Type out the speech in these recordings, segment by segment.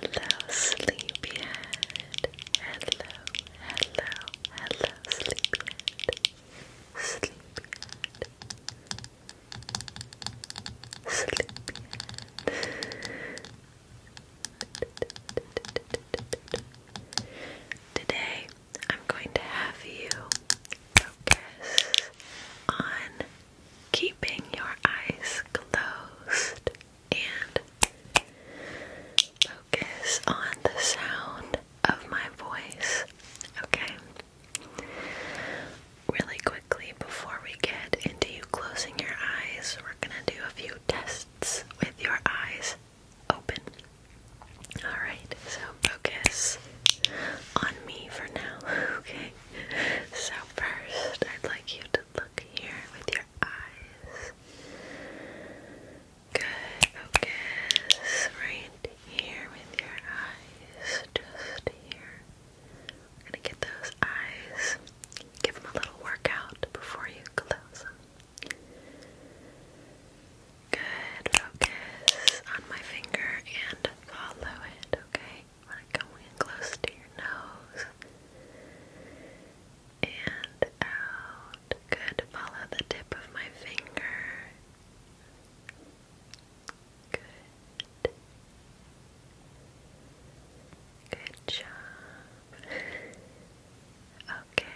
Hello, sleepyhead. Hello, hello, hello, sleepyhead. Sleepyhead. Sleepyhead. Today, I'm going to have you focus on keeping your eyes closed and focus on the sound of my voice, okay? Really quickly, before we get into you closing your eyes, we're gonna do a few tests with your eyes open. Alright, so focus on me for now, okay? So first, I'd like you to look here with your eyes. Good. Focus right here with your eyes. Just here. gonna get those eyes. Give them a little workout before you close Good. Focus on my finger and follow it. Okay. I'm close to your nose and out. Good. Follow the tip of my finger. Good. Good job. Okay.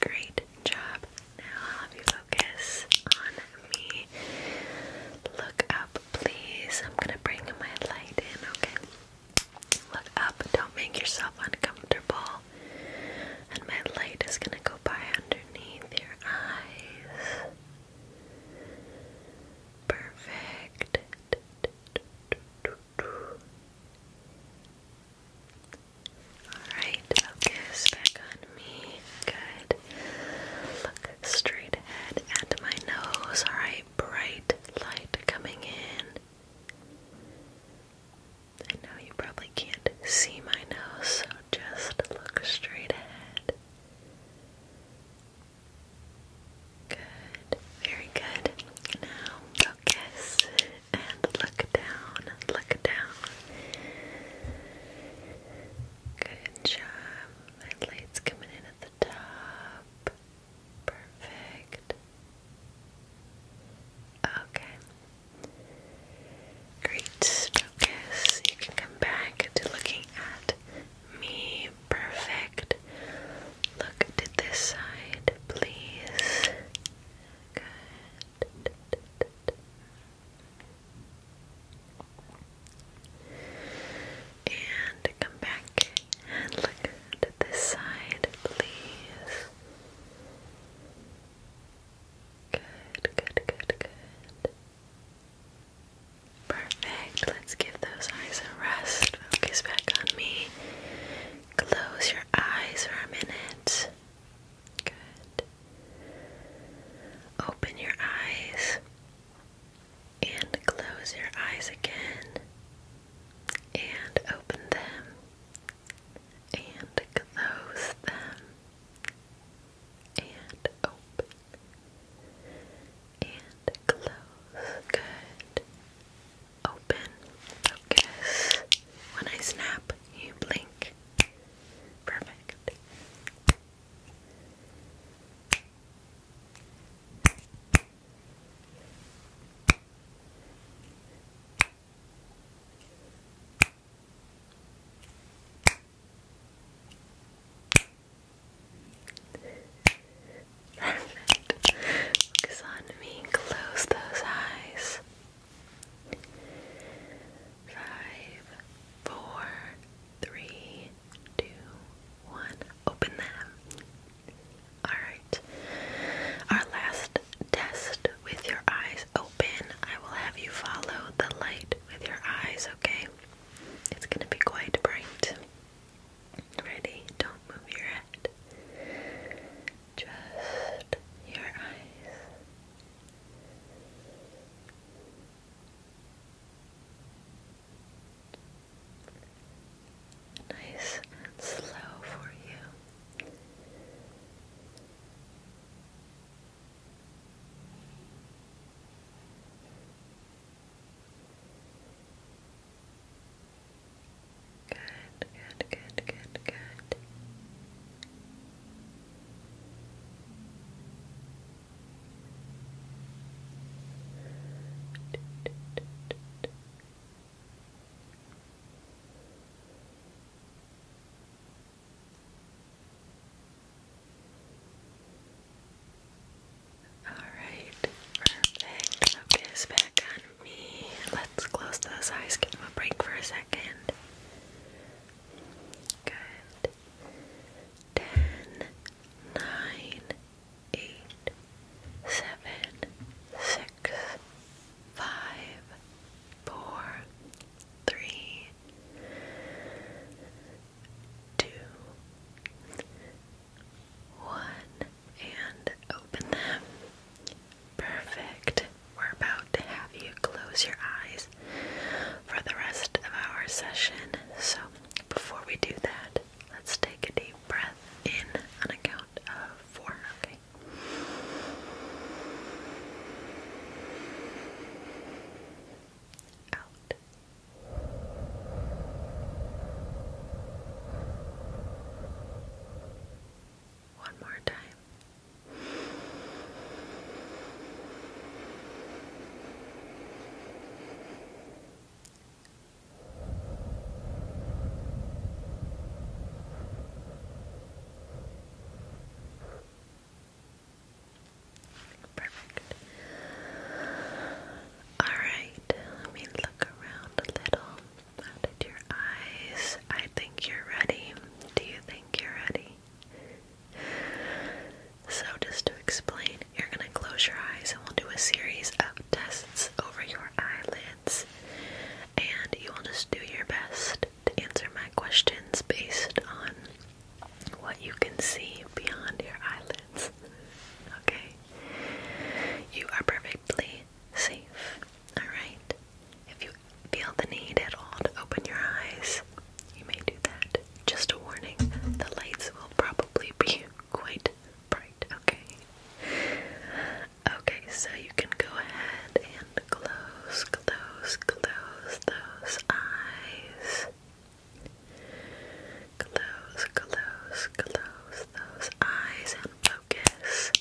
Great job. Now I'll have you focus on me. Look up please. I'm gonna bring my light in, okay? Look up, don't make yourself uncomfortable. And my light is gonna go by underneath your eyes. Perfect. Alright, focus back on me. Good. Look straight ahead and my nose. Alright, bright light coming in. I know you probably can't see my nose, so just look straight ahead. Good, very good. Now focus and look down, look down. Good job. My light's coming in at the top. Perfect. Okay. Great. Focus. You can come back to looking at me. Perfect. Look to this side, please. Good. And come back and look to this side, please. Good, good, good, good. Perfect. Let's give those eyes a rest. Focus back on me. Close your eyes for a minute. Good. Open your eyes. And close your eyes again. And open them. And close them. And open. And close. Good. Open. Focus. When I snap, you blink. Perfect. Perfect. Focus on me. Close those eyes five, four, three, two, one. Open them. Alright. Our last test with your eyes open. I will have you follow the light with your eyes, okay? It's going to be quite bright. Ready? Don't move your head. Just your eyes nice slow for you. Good, good, good, good, good. All right, perfect. Focus back on me. Let's close those eyes, give them a break for a second. Good ten, nine, eight, seven, six, five, four, three, two, one, and open them. Perfect. We're about to have you close your eyes for the rest of our session. So, before we do that, let's take a deep breath in on a of four, okay? Out. One more time. Perfect. All right, let me look around a little. Out at your eyes. I think you're ready. Do you think you're ready? So, just to explain, you're going to close your eyes and we'll do a series of tests over your eyelids. And you will just do your best to answer my questions based on what you can see beyond your eyelids. Okay? You are perfectly safe. Alright? If you feel the need at all to open your eyes, you may do that. Just a warning, the lights will probably be quite bright, okay? Okay, so you can go ahead and close, close, close those eyes. Close, close, close those eyes and focus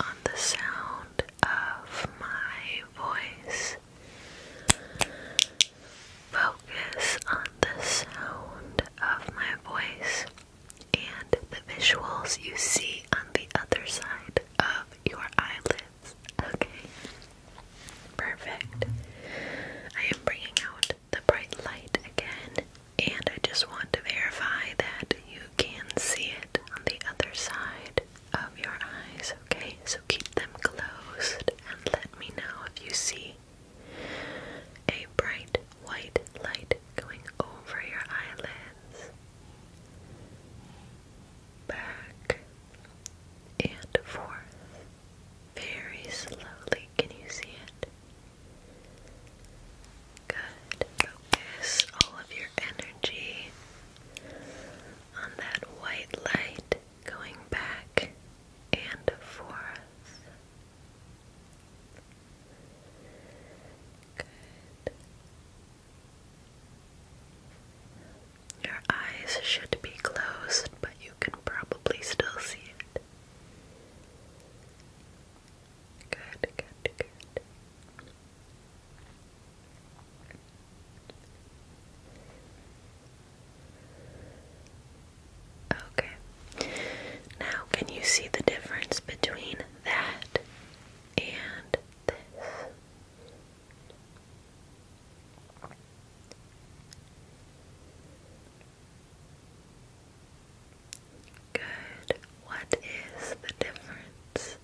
on the sound of my voice. Focus on the sound of my voice and the visuals you see on the other side of your eyelids. Okay, perfect. I am bringing out the bright light again, and I just want to verify that you can see it on the other side of your eyes, okay? So keep them closed and let me know if you see a bright white light going over your eyelids. Back and forth. Very slowly. Can you see it? Good. Focus all of your energy on that white light going back and forth. Good. Your eyes should be closed, but you can probably still see it. Good, good, good. Okay. Now, can you see the difference between that and this? Good. What is the difference?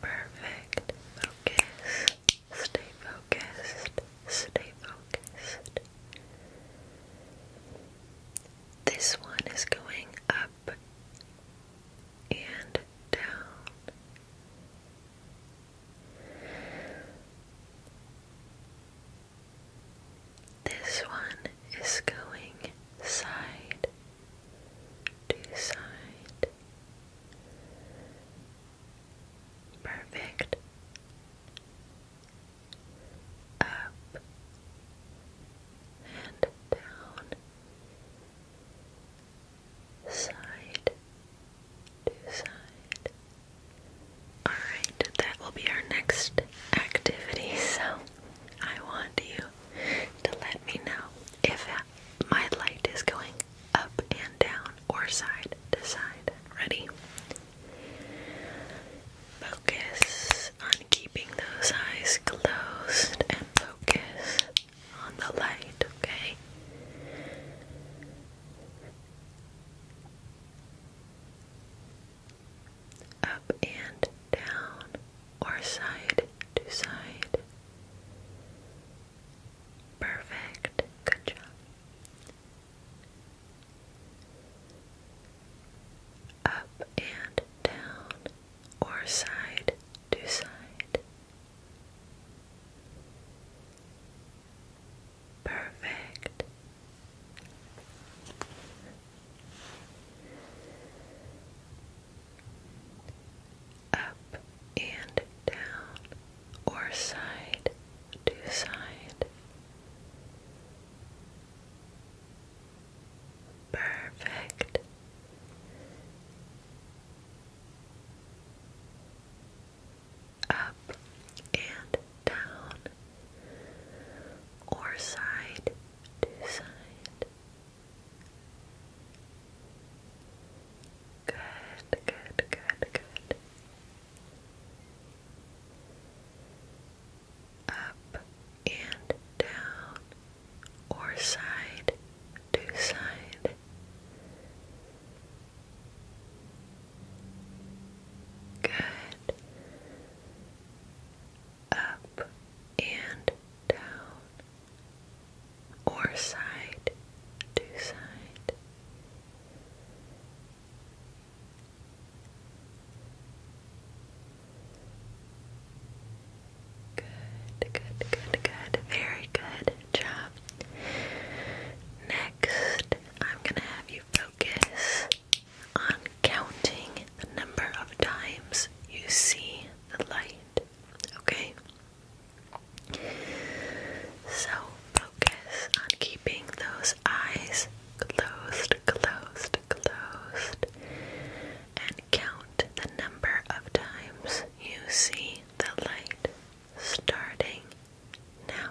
Perfect. Focus. Stay focused. Stay focused. This one is going up and down. This one is going side to side. Perfect. Up and down. Side to side. Alright, that will be our next activity. So I want you to let me know if my light is going up and down or side to side. Ready? Focus on keeping those eyes closed and focus on the light, okay? Up and down or side to side. Perfect. Good job. Up and down or side to side. Perfect up and down or side to side. Perfect. Up and down or side to side. Good, good, good, good. Up and down, or side to side. Good up and down, or side to side. Good, good, good, good. Very good job. Next, I'm going to have you focus on counting the number of times you see the light, okay? So focus on keeping those eyes closed, closed, closed, and count the number of times you see the light starting now.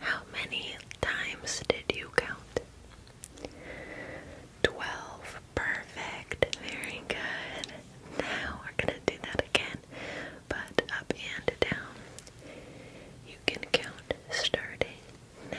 How many times did you count? Twelve. Perfect. Very good. Now we're going to do that again, but up and down. You can count starting now.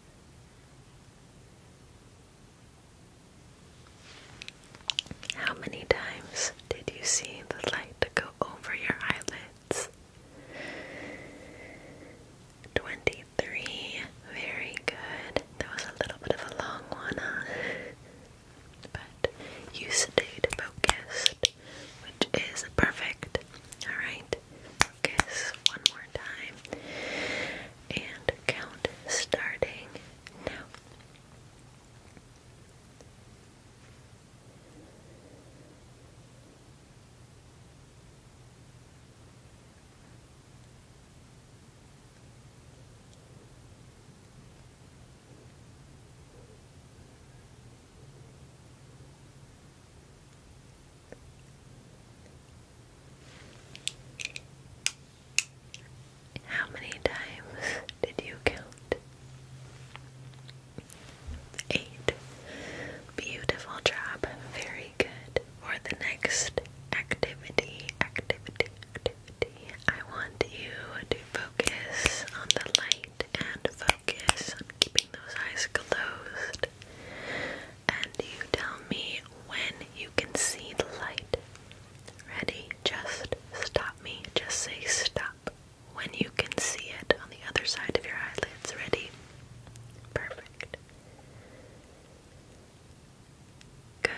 How many times did you see the light go over your eyelids? 23. Very good. That was a little bit of a long one, But you stayed focused, which is perfect. Alright focus one more time and count starting now. How many times did you count? Eight. Beautiful job. Very good. For the next activity, activity, activity, I want you to focus on the light and focus on keeping those eyes closed. And you tell me when you can see the light. Ready? Just stop me. Just say stop when you can see it on the other side of your eyelids. Ready? Perfect. Good.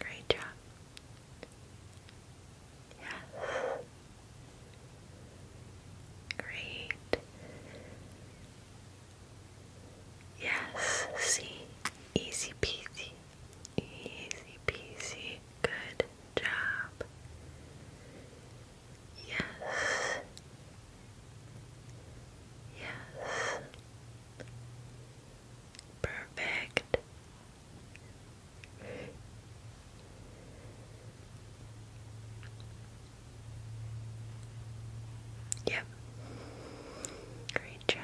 Great job. Yes. Great. Yes, see? Easy peasy. Easy peasy. Good job. Yes. Yes. Perfect. Yep. Great job.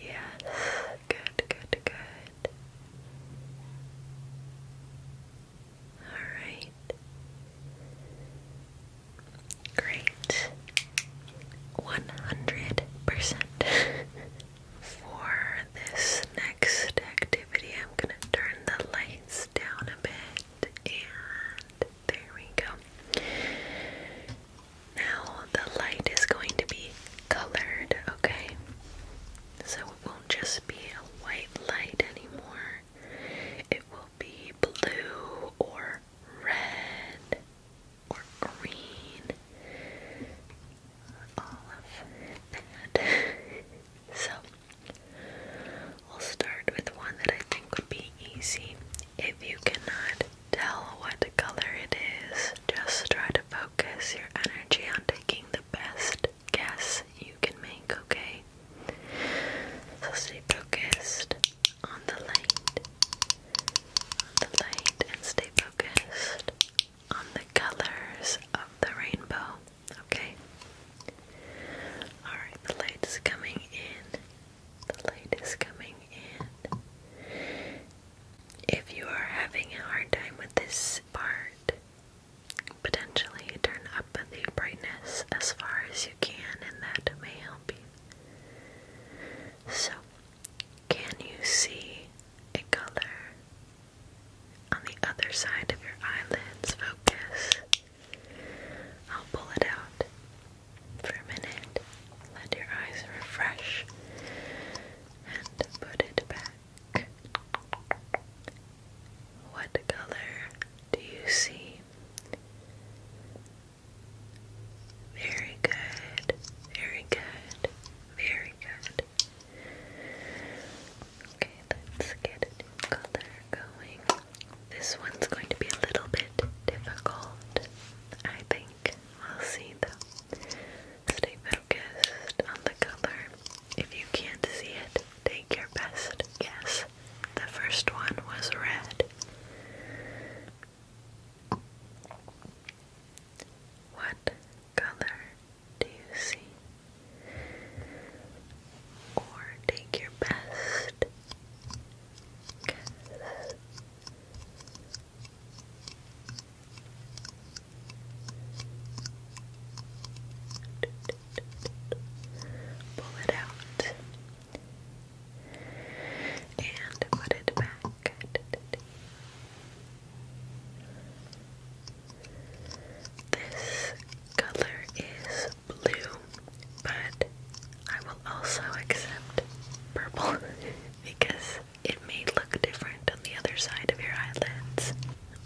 Yes, good, good, good. All right. Great. 100%. For this next activity, I'm going to turn the lights down a bit. And there we go. Now the light is going to be colored, okay? So it won't just be a white light anymore. It will be blue or red or green. All so we'll start with one that I think would be easy. If you cannot tell what color it is, just try to focus your energy on taking the best guess you can make, okay? So stay focused on the light the light and stay focused on the colors of the rainbow, okay? Alright, the light is coming in. The light is coming in. If you are having a hard time with this part, potentially turn up the brightness as far as you can, and that may help you. So, can you see a color on the other side of your eyelids? Focus. I'll pull it out for a minute. Let your eyes refresh and put it back. What color do you see? Very good. Very good. Very good. Okay, let's get a color going. This one's going to be a little bit difficult, I think. i will see though. Stay focused on the color. If you can't see it, take your best guess. The first one was red. What color do you see? Or take your best guess. Pull it out and put it back. This color is blue, but I will also accept purple because it may look different on the other side of your eyelids.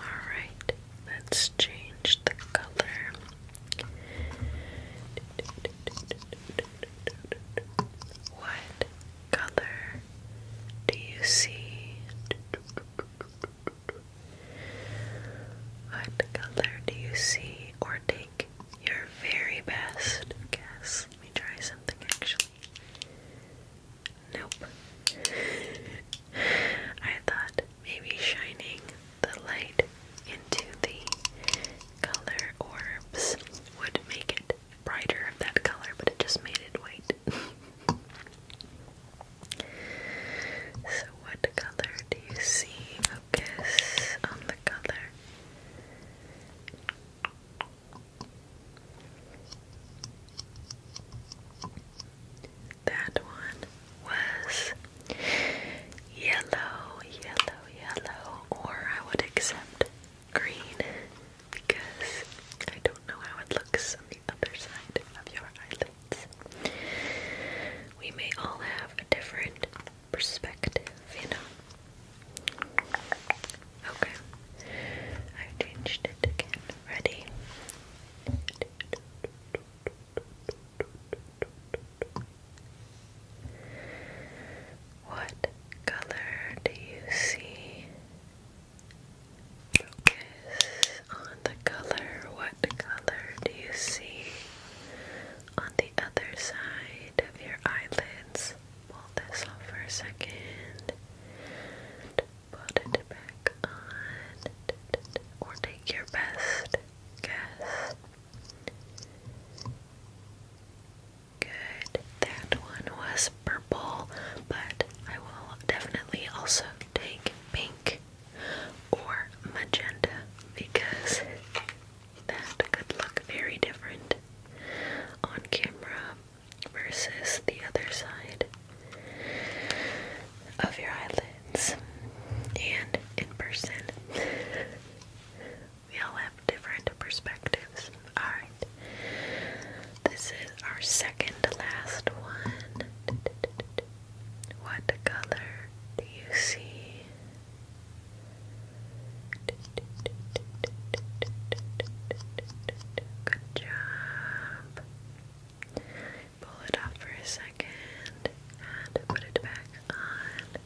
Alright, let's change the color. What color do you see? What color do you see? Or take your very best guess. Let me try something actually. Nope. I thought maybe shining the light into the color orbs would make it brighter of that color, but it just made it white. so, what color do you see? Focus on the color. That one was yellow, yellow, yellow, or I would accept green because I don't know how it looks on the other side of your eyelids. We may all have a different perspective, you know. Okay. I changed it again. Ready? What color do you see? Focus on the color. What color do you see on the other side of your eyelids? Pull this off for a second. put it back on. Or take your best guess Good. That one was purple, but I will definitely also take pink or magenta because that could look very different on camera versus the other side of your eyelid and in person. we all have different perspectives. Alright. This is our second last one. What color do you see? Good job. Pull it off for a second and put it back on.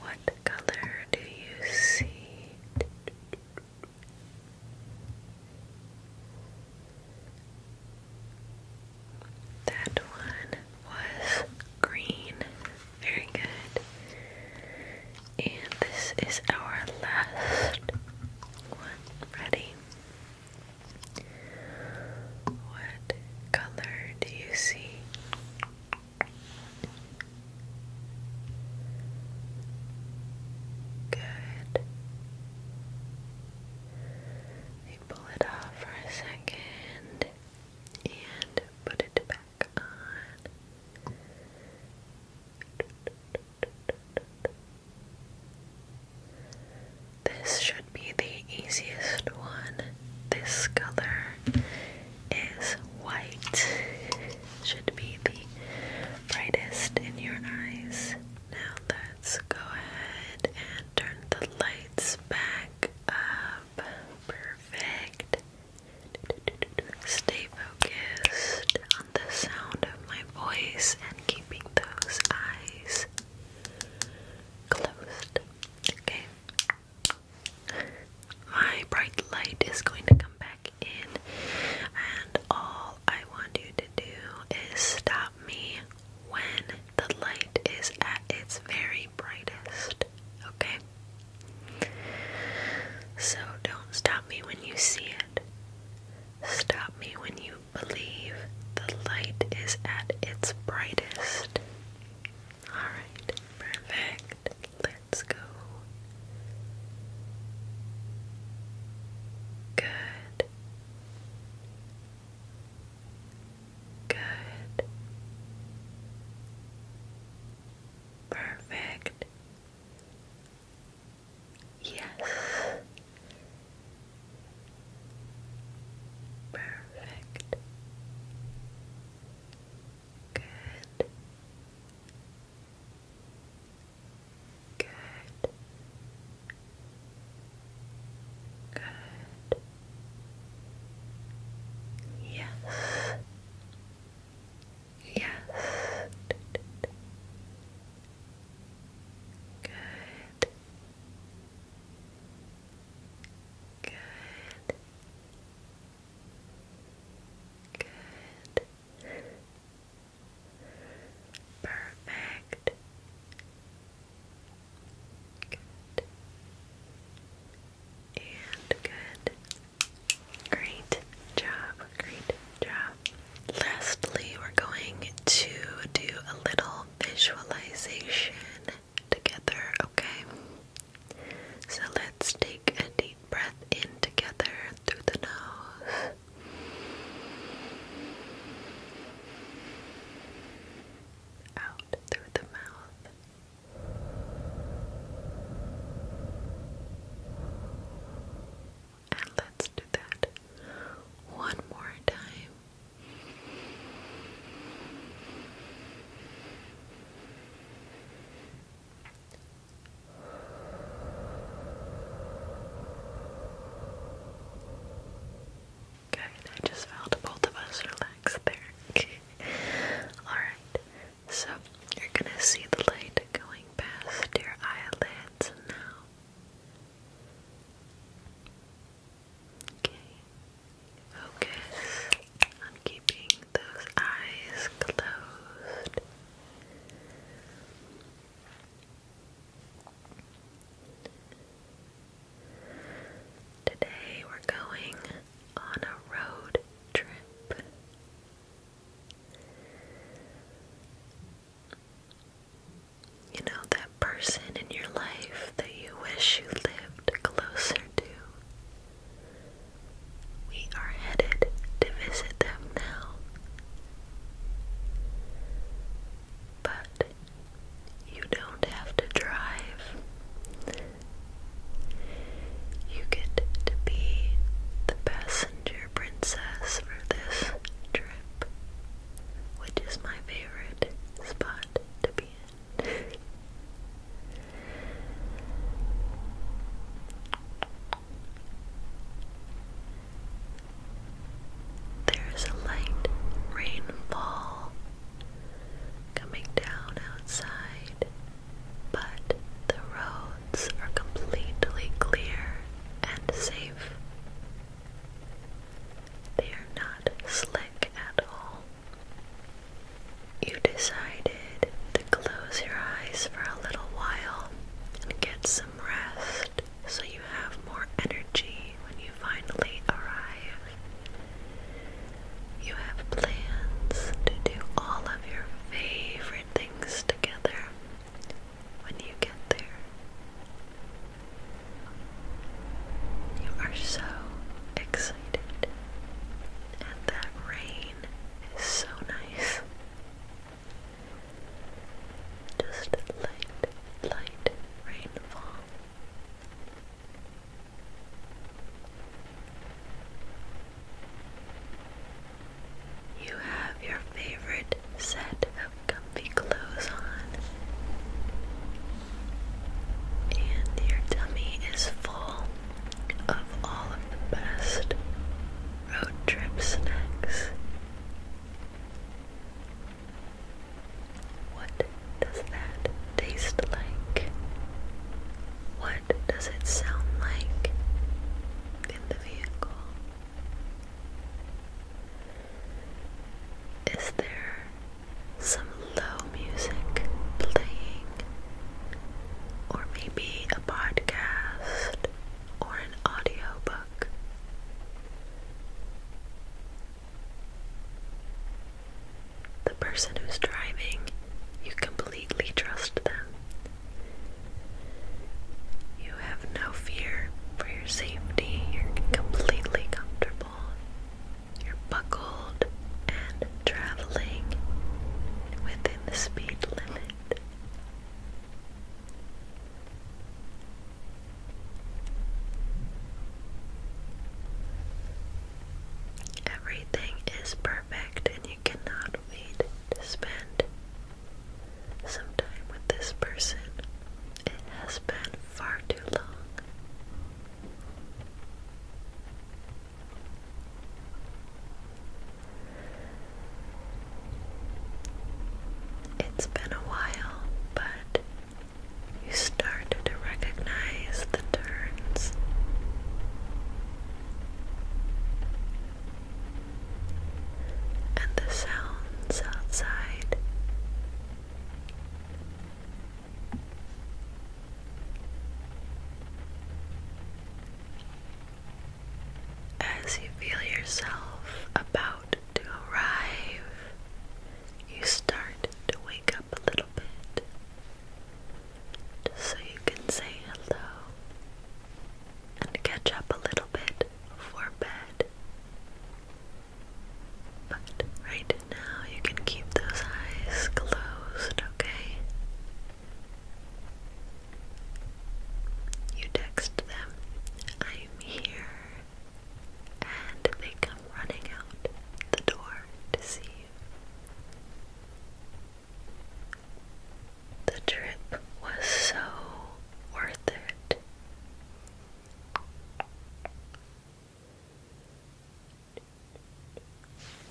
What color do you see? That one was green. Very good. And this is our last one. Ready? What color do you see? Good. We pull it off for a second and put it back on. This should be the easiest one. This color is white. Should be the brightest in your eyes. Now let's go ahead and turn the lights back up. Perfect. Stay focused on the sound of my voice and keeping those eyes closed. Okay. My bright light is going to come back in, and all I want you to do is stop me when the light is at its very brightest. Okay? So don't stop me when you see it. Stop me when you believe the light is at its brightest. Alright, perfect. Let's go. Good. Good. Perfect. Yes. Perfect. Good. Good. Good. Yes. Yes. Good. Good. Good. Perfect. Good. And good. Great job. Great job. Lastly, we're going to do a little visualization together, okay? So let's take a deep breath in together through the nose. Out through the mouth. And let's do that one more time. Good, I just felt both of us relax there. Alright, so you're gonna see the light going past your eyelids now. Okay. Focus on keeping those eyes closed. Today we're going on a road trip you know, that person in your life that you wish you lived closer to. We are headed to visit them now. But you don't have to drive. You get to be the passenger princess for this trip which is my favorite spot to be in. there is a light rainfall coming down outside, but the roads are completely clear and safe. They are not slick at all. You decided to close your eyes for a little while and get some rest so you have more energy when you finally arrive. You have plans to do all of your favorite things together when you get there. You are so excited, and that rain is so nice. Just light, light rainfall. You have your favorite set comfy clothes on, and your tummy is full of all of the best road trip snacks. What does that taste like? What does it sound like in the vehicle? Is there some low music playing? Or maybe a podcast or an audiobook? The person who's driving, you completely trust them. You have no fear for your safety. You're completely comfortable. You're buckled and traveling within the speed limit. Everything is perfect, and you cannot wait to spend some time with this person. It has been far too long. It's been a while, but you start to recognize the turns and the sounds outside. As you feel yourself about to arrive, you start to wake up a little bit just so you can say hello and catch up a little bit before bed. But right now, you can keep those eyes closed, okay? You text them, I'm here, and they come running out the door to see you. The trip was so worth it.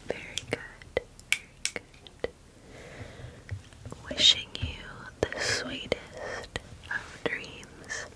Very good, very good. Wishing you the sweetest of dreams.